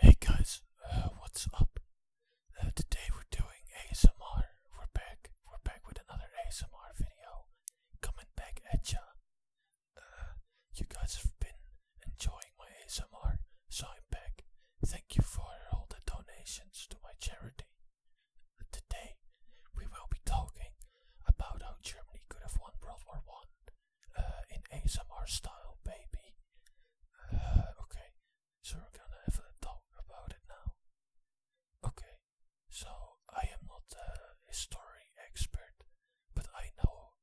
Hey guys, uh, what's up? Uh, today we're doing ASMR. We're back. We're back with another ASMR video. Coming back at ya. Uh, you guys have been enjoying my ASMR, so I'm back. Thank you for all the donations to my charity. Today we will be talking about how Germany could have won World War One uh, in ASMR style, baby. Uh, okay, so we're gonna have a talk about it now. Okay, so I am not a history expert, but I know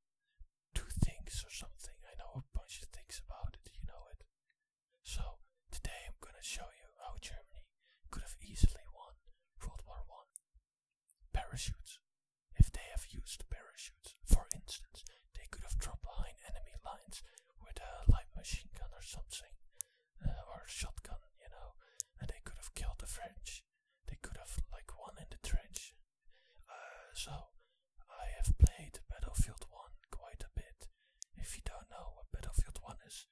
two things or something. I know a bunch of things about it, you know it. So today I'm gonna show you how Germany could have easily won World War One Parachutes. If they have used parachutes, for instance, they could have dropped behind enemy lines with a light machine gun or something, uh, or a shotgun, you know, and they could have killed the French. They could have, like, won in the trench. Uh, so, I have played Battlefield 1 quite a bit. If you don't know what Battlefield 1 is,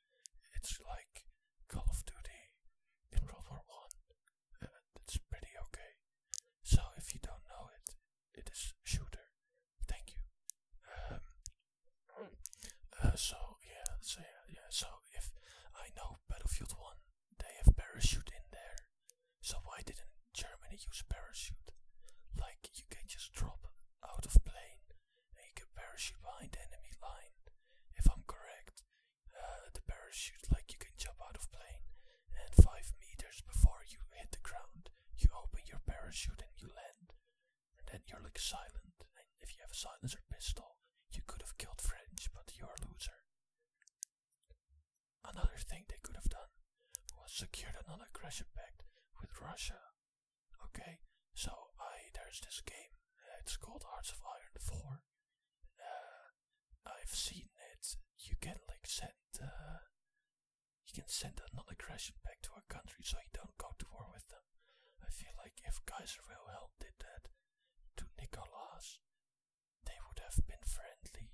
it's like Call of Duty in World War One. and uh, It's pretty okay. So if you don't know it, it is shooter. Thank you. Um, uh, so yeah, so yeah, yeah. So if I know Battlefield One, they have parachute in there. So why didn't Germany use parachute? Like you can just drop out of plane and you can parachute behind enemy line. If I'm correct, uh, the parachute, like you can jump out of plane and 5 meters before you hit the ground, you open your parachute and you land. And then you're like silent. And if you have a silencer pistol, you could have killed French, but you're a loser. Another thing they could have done was secure another aggression pact with Russia. Okay, so I there's this game. it's called Hearts of Iron Four. Uh, I've seen it. You can like send. Uh, you can send another aggression back to a country so you don't go to war with them. I feel like if Kaiser Wilhelm did that to Nicholas they would have been friendly,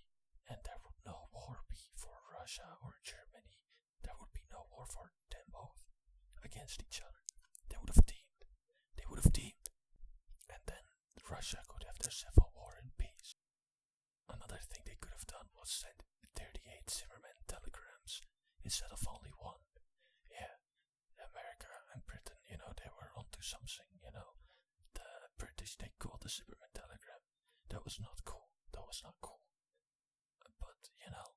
and there would no war be for Russia or Germany. There would be no war for them both against each other. They would have teamed. They would have teamed. And then Russia could have their civil war in peace. Another thing they could have done was send 38 Zimmerman telegrams instead of only one. Yeah, America and Britain, you know, they were onto something, you know. The British, they called the Superman telegram. That was not cool. That was not cool. But, you know,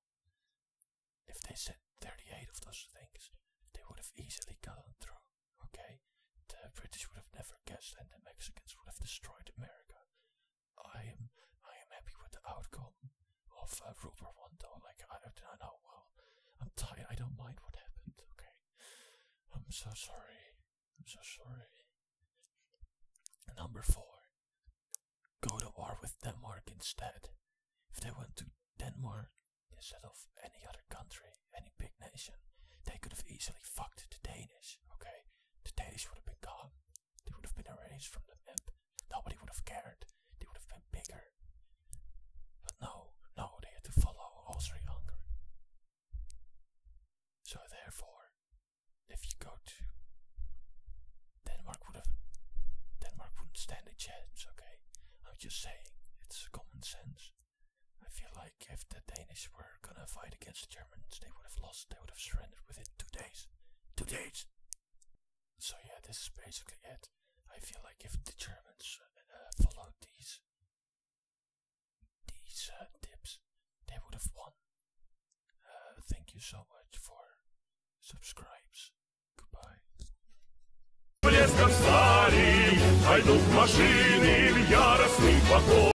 if they said 38 of those things, they would have easily gotten through, okay? The British would have never guessed and the Mexicans would have destroyed America. I am, I am happy with the outcome of uh, one though, Like, I, don't know, well, I'm tired. I don't mind what happened, okay? I'm so sorry. I'm so sorry. Number four, go to war with Denmark instead. If they went to Denmark instead of any other country, any big nation, they could have easily fucked the Danish, okay? The Danes would have been gone. They would have been erased from the map. Nobody would have cared. They would have been bigger. But no, no, they had to follow Osri Hunger. So therefore, if you go to Denmark would have Denmark wouldn't stand a chance, okay? I'm just saying, it's common sense. I feel like if the Danish were gonna fight against the Germans, they would have lost, they would have surrendered within two days days. Two days. So yeah, this is basically it. I feel like if the Germans uh, followed these these tips, uh, they would have won. Uh, thank you so much for subscribes. Goodbye.